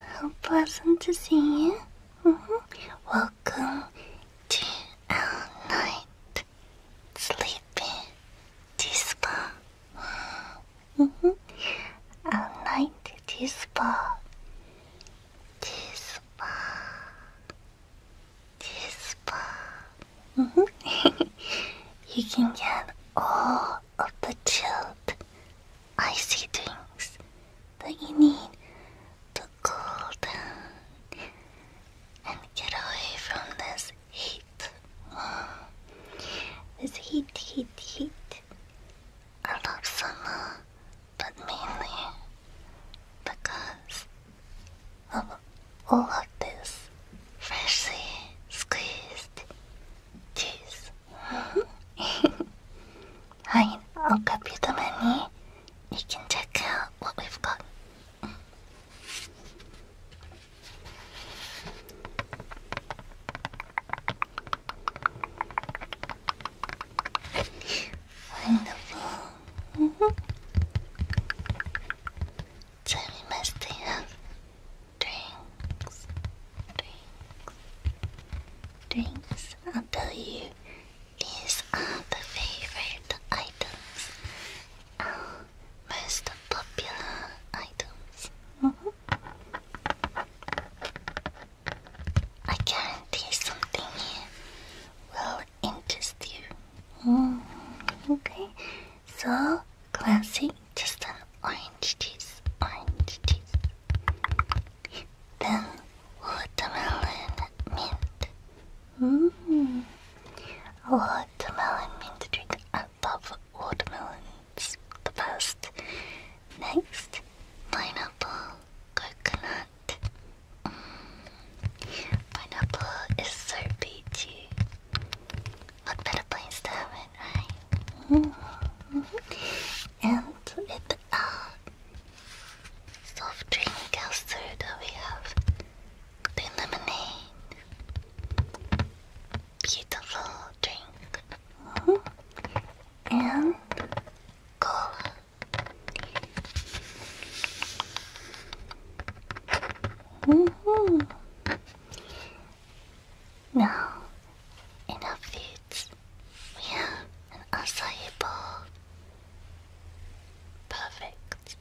How pleasant to see you. Mm-hmm. Welcome to our night sleeping dispa. spa. Mm -hmm. Our night tea spa. Tea mm-hmm. you can get all of the chilled I see things that you need to cool down and get away from this heat. This heat, heat, heat. I love summer, but mainly because of all of this freshly squeezed Cheers! I'll give you the money. You can check out what we've got. Wonderful. Mm -hmm. So drinks, drinks, drinks. I'll tell you, these are the favorite items, uh, most popular items. Uh-huh. I guarantee something here will interest you. Uh-huh. Okay, so classic just some orange juice, orange juice. Then watermelon mint. Mmm. Watermelon mint drink. I love watermelons the best. Next, pineapple coconut. Mm. Pineapple is so beachy. What better place to have Mm-hmm. And with uh, soft drink custard, we have the lemonade. Beautiful drink. Mm-hmm. And cola. -hmm. Now, in our feet, we have an acai bowl. Perfect.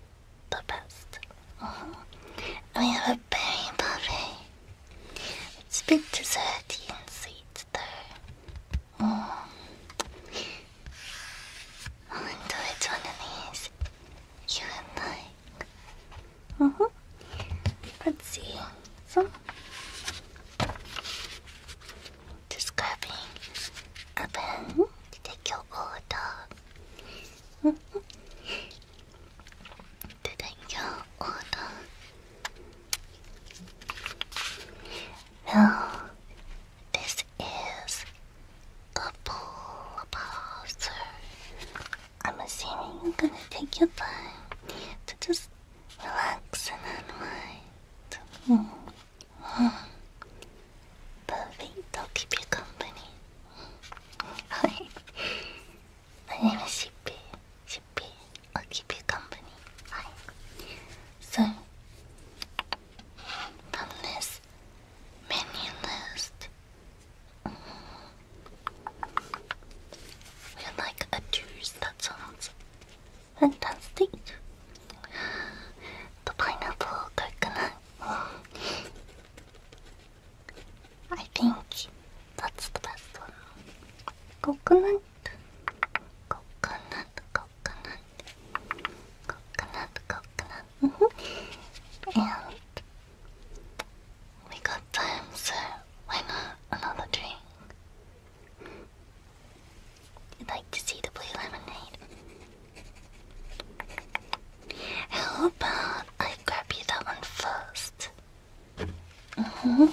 The best. Mm -hmm. And we have a berry buffet. It's a bit desserty and sweet, though. Mm. I'll enjoy which one of these you like. Uh huh. Let's see. So, describing a pen to take your mm-hmm. Now, this is a pull parcel. I'm assuming you're gonna take your time to just relax and unwind. Mm. Perfect, I'll keep you company. Alright. My name is Shippy. Shippy, I'll keep you company. Alright. So, from this menu list, we like a juice, that sounds fantastic. The pineapple coconut. I think that's the best one. Coconut, coconut, coconut, coconut, coconut. Mm -hmm. And we got time, so why not another drink? You'd like to see the blue lemonade? How about I grab you that one Mm-hmm.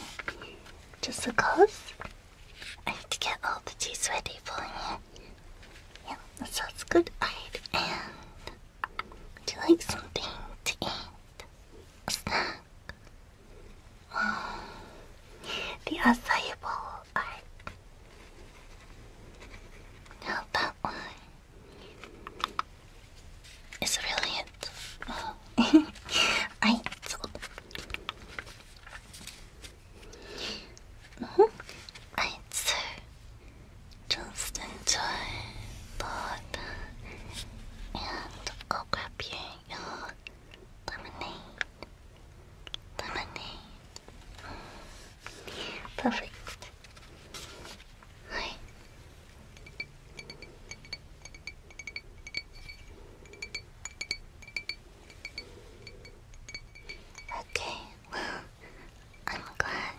Just because? I have to get all the tea ready for you. Yeah, that sounds good. Alright, and would you like something to eat? snack? Oh, the acai bowl. Now that one is brilliant. Oh. I told... I too just enjoy the food. And go grab your, your lemonade. Lemonade. Perfect. Hi. Okay, well, I'm glad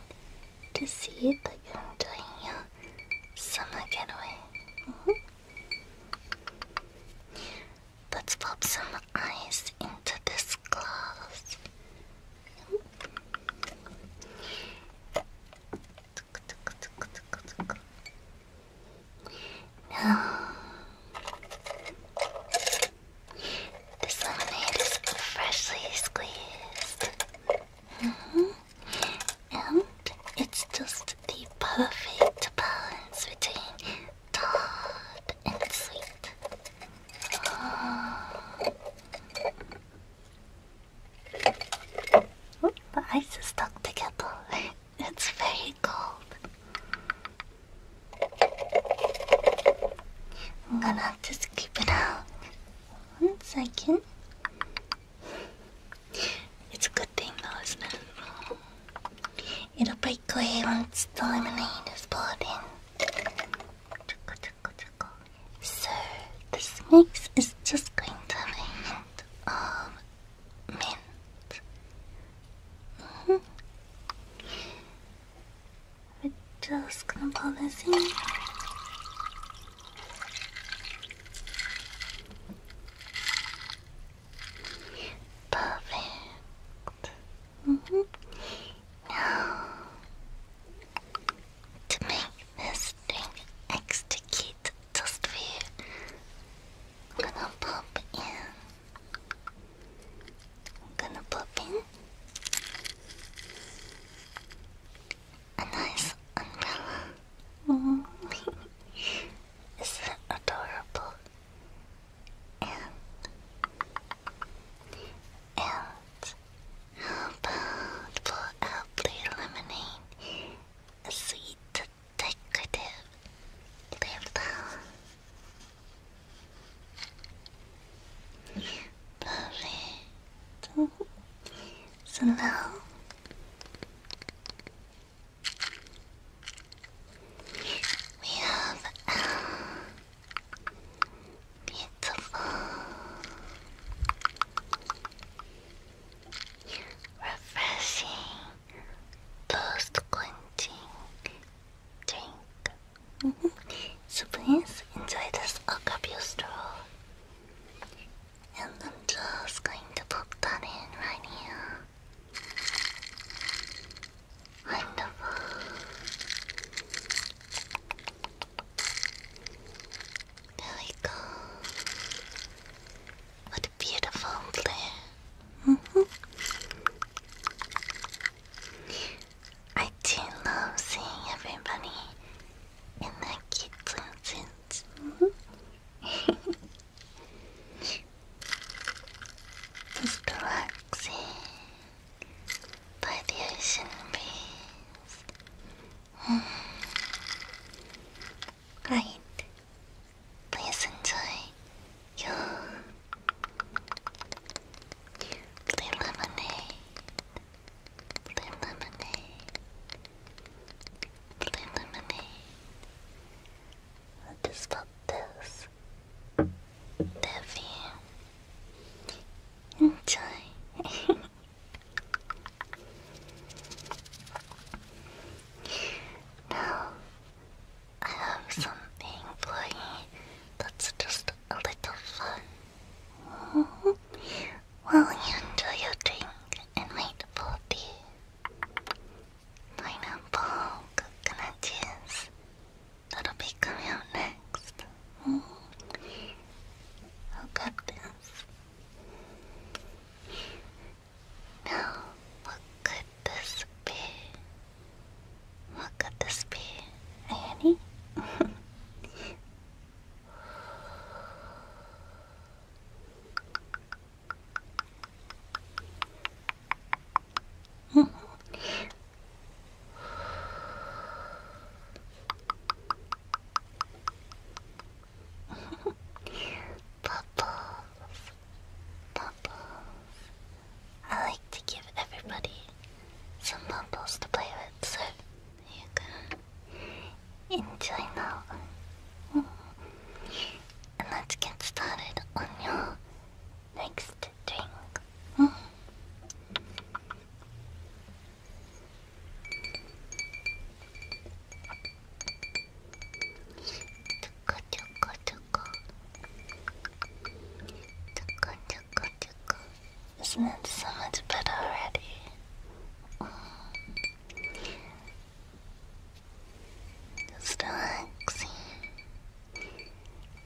to see but I'm doing a uh, summer getaway. Mm-hmm. Let's pop some ice into this glass. this lemonade is freshly squeezed. Mm-hmm and it's just the perfect balance between tart and sweet. Oh, the ice is stuck together. It's very cold. I'm gonna just keep it out one second. It's a good thing though, isn't it? It'll break away once the lemonade is poured in. So, this mix is just going to be a of mint. Mm-hmm. We're just gonna pour this in. Perfect. Mm-hmm. Now, to make this drink extra cute just for you, I'm gonna pop in. I'm gonna pop in a nice umbrella. Oh. Isn't adorable? And and how about for apple lemonade? A sweet decorative label. Lovely so now we have a beautiful refreshing toast quenching drink mm so please enjoy this Okapio straw and I'm just going to pop that in right here. Wonderful. There we go. What a beautiful blue. -hmm. I do love seeing everybody in their cute little relaxing by the ocean breeze. Mm. Right. Please enjoy your blue lemonade. Blue lemonade. Blue lemonade. What is about this? Devi. Enjoy. now, I have something for you that's just a little fun. Mm -hmm. Well, you do your drink and wait for the pineapple coconut juice that'll be coming out next. Mm -hmm. I'll grab this. Now, what could this be? What could this be, Annie? Bubbles. Bubbles. I like to give everybody some bubbles to play with, enjoy now. and let's get started on your next drink. Tuko tuko tuko. Tuko tuko tuko. Isn't that so much better already? Just relaxing,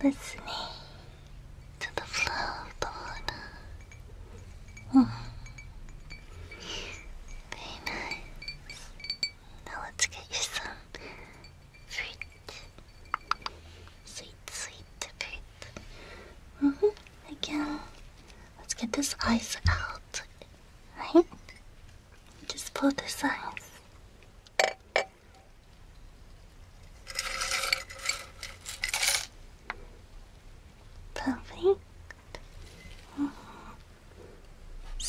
listening to the flow of the water. Mm. nice. Now let's get you some fruit Sweet, sweet, perfect. Mm -hmm. Again, let's get this eyes out, right? Just pull this eyes. Perfect. Mm -hmm.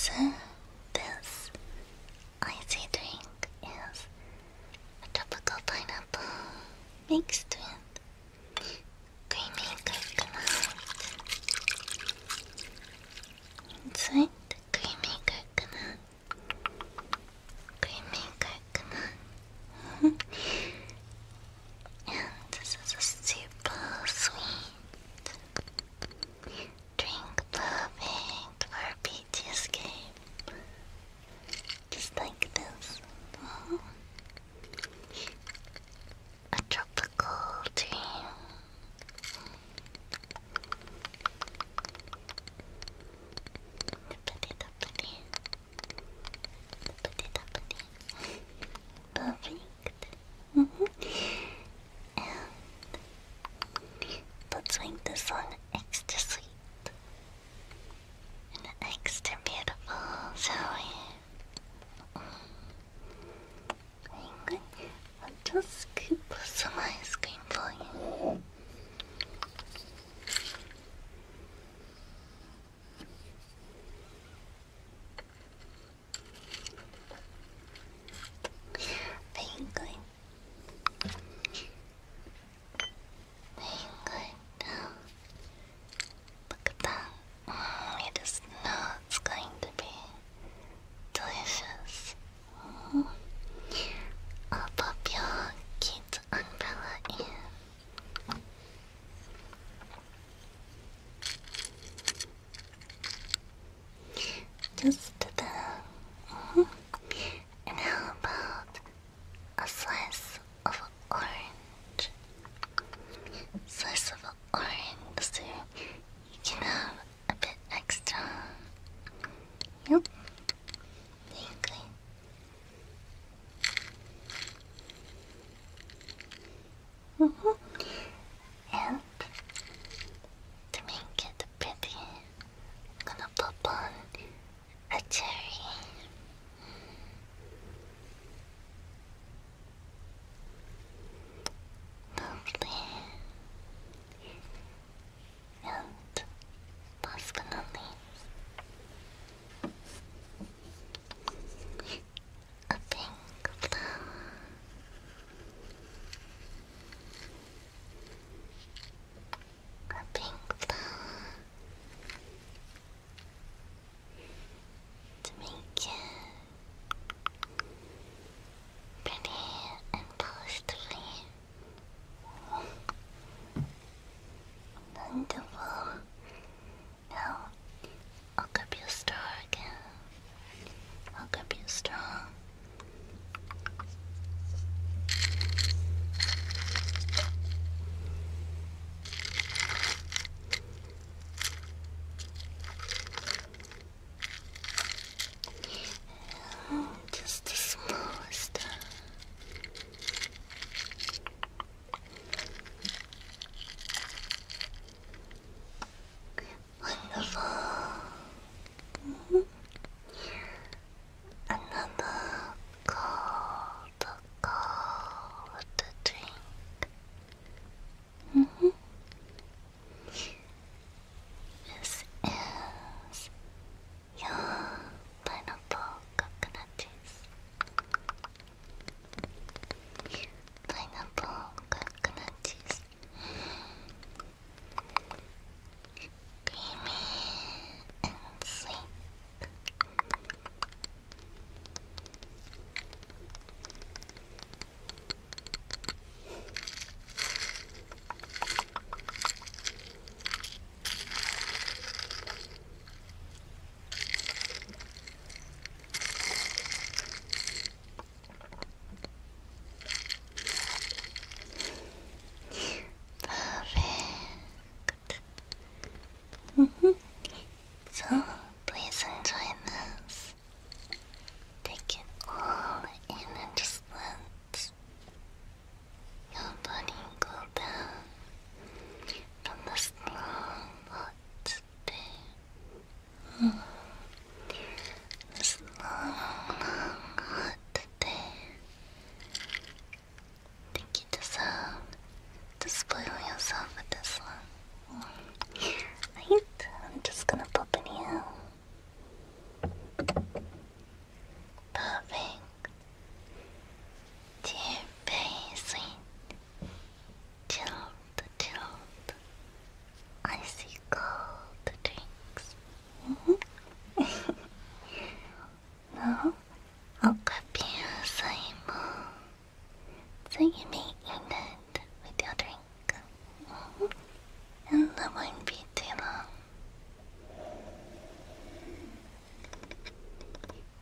So this icy drink is a tropical pineapple. Mixed with creamy coconut. Inside creamy coconut. Creamy coconut. and this is a super sweet drink perfect for game. Just like this. A tropical dream. Duppity duppity. Duppity duppity. Perfect. Mm -hmm. let's make this one extra sweet and extra beautiful, shall we? Hang on, I'll just scoop some ice cream for you. Penguin, very good. Look at that. Mm, you going to be delicious. I'll pop your cute umbrella in. Just there. Uh, mm-hmm. And how about a slice of orange? Slice of orange, so you can have a bit extra. Yep. -hmm. And to make it pretty, I'm gonna pop on a cherry. Lovely. And last a pink flower or pink flower to make pretty and polished for Now, I'll keep you strong again. I'll keep you strong. Oh, just the smallest. Wonderful. Another cold, cold drink. Mm -hmm. This pineapple coconut cheese. Pineapple coconut Creamy and sweet. Perfect. Mm -hmm. So please enjoy this. Take it all in and just let your body go down from this long hot day. Mm. This hot Thank you to some to spoil yourself with this one. right? I'm just gonna pop in here. Perfect. Dear very sweet. Chilled, chilled. Icy cold drinks no, I'll copy you, Simon. So you may eat it with your drink. And that won't be too long.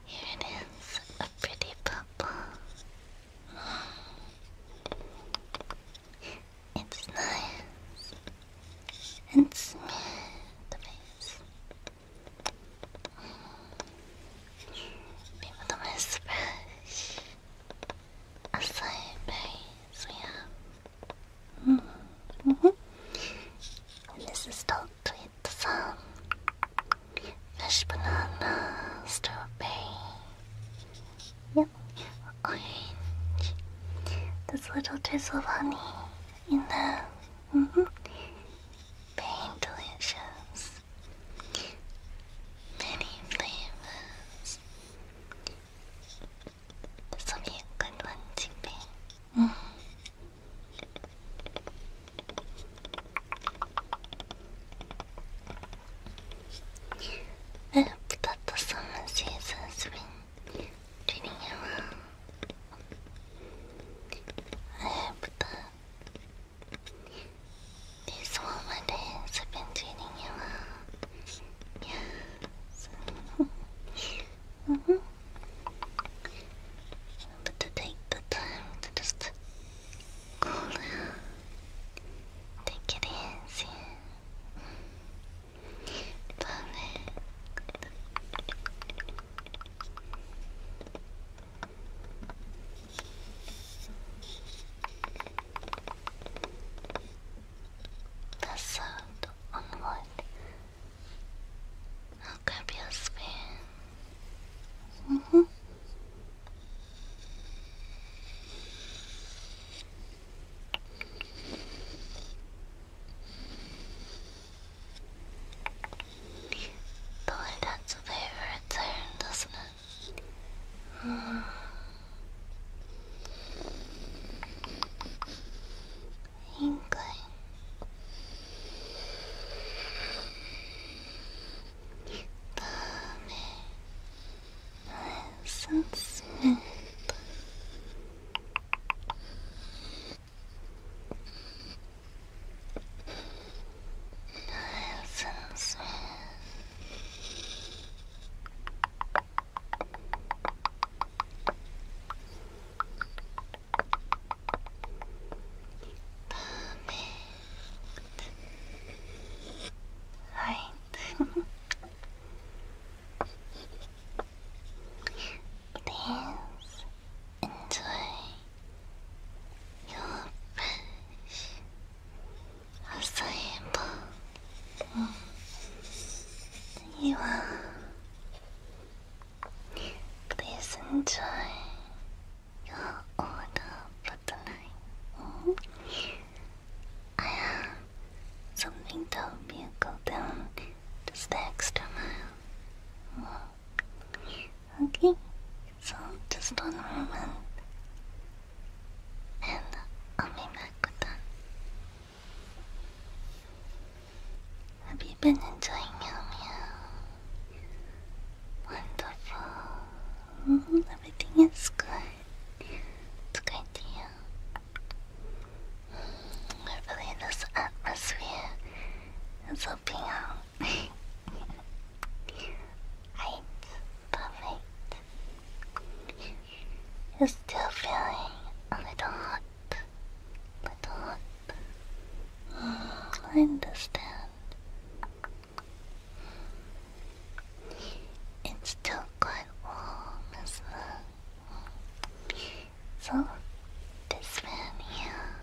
Here it is, a pretty purple. It's nice and smooth face. People don't miss brush. A side base we -hmm. And this is with some fresh banana, strawberry, Yep, orange. This little drizzle of honey in the mm -hmm, very delicious. Many flavors. This will be a good one to be. I mm-hmm. hope that the summer season swings treating you well. I hope that this warmer days have been treating you -hmm. But to take the time to just cool down, take it easy. Perfect. The sound on I'll grab your spoon. Boy, that's a favorite turn, doesn't it? Mm. Inkling. Dame so smooth. So smooth. Perfect. Right. Please enjoy your fresh, acai bowl. You are. Please enjoy your order for I have uh, something told me to go down just the extra mile. okay, so just one moment, and I'll back with that. Have been enjoying Meow Wonderful. Everything is good. It's great to hear. Hopefully this atmosphere is helping out. right, perfect. You're still feeling a little hot. Little hot. Mm, I understand. It's still quite warm, isn't So, this fan here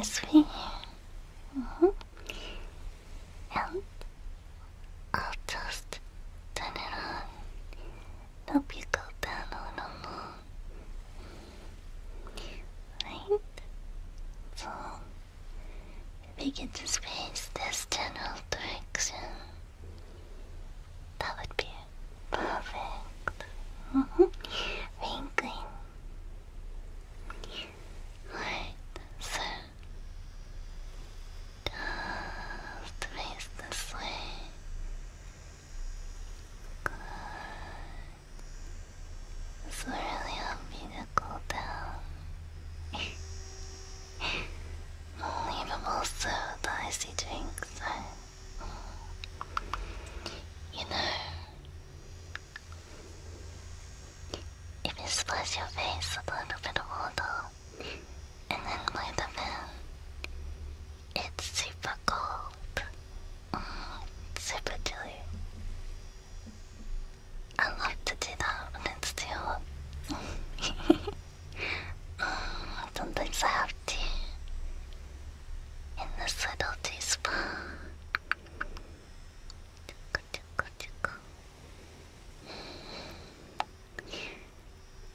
is me. Mm -hmm. And I'll just turn it on. Help you go down a little more. Right? So begin to space this general direction. That would be perfect. Mm -hmm. so face this way. It's really help me to cool down. Unbelievable so icy drinks are... You know... If you splash your face with a little bit of water and then by the fan, it's super cold. Mm, super chilly. I like to do that when it's too do um, oh, sometimes I have to. In this little tea spa.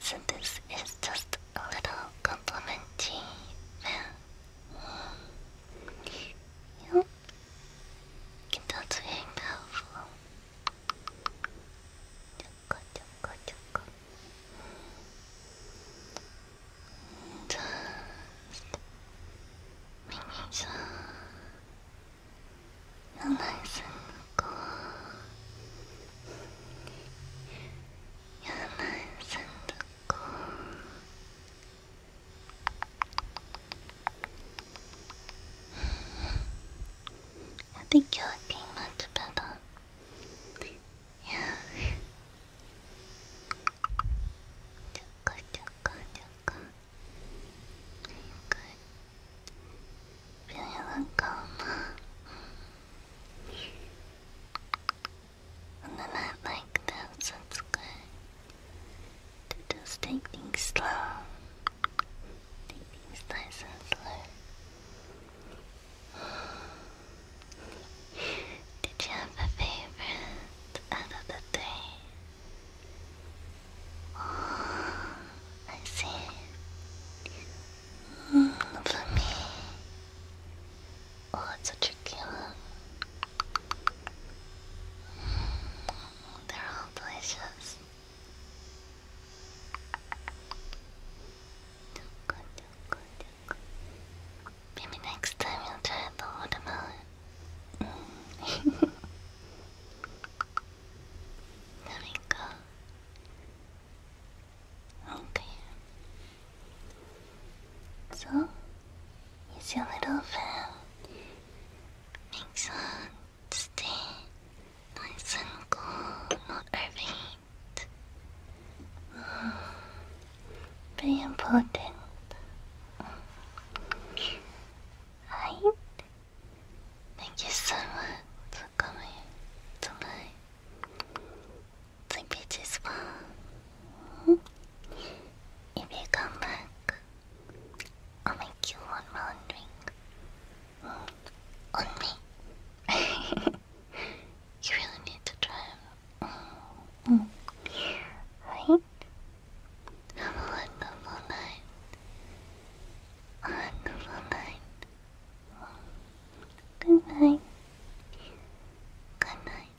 So this is just a little complimentary. Yep, can't powerful. Chaka, chaka, chaka. Just making sure you're nice and cool. you I think you're looking much better. Yeah. Chuka, chuka, chuka. Good. Feeling calm. On the night like this, it's good to just take things slow. Take things nice and slow. Did you have a favorite out of the three? Oh, I see. Mm, for me. Oh, it's such a cute one. They're all delicious. Maybe next time you'll try the watermelon. there we go. Okay. So, he's your little fan. Make sure to stay nice and cool, not overheat. Mm. important. Right? Thank you so much for coming tonight. Sleepy as well. Mm if you come back, I'll make you one round drink On me. you really need to try him. Mm. Right? Have a wonderful night. A wonderful night. Good night. Good night.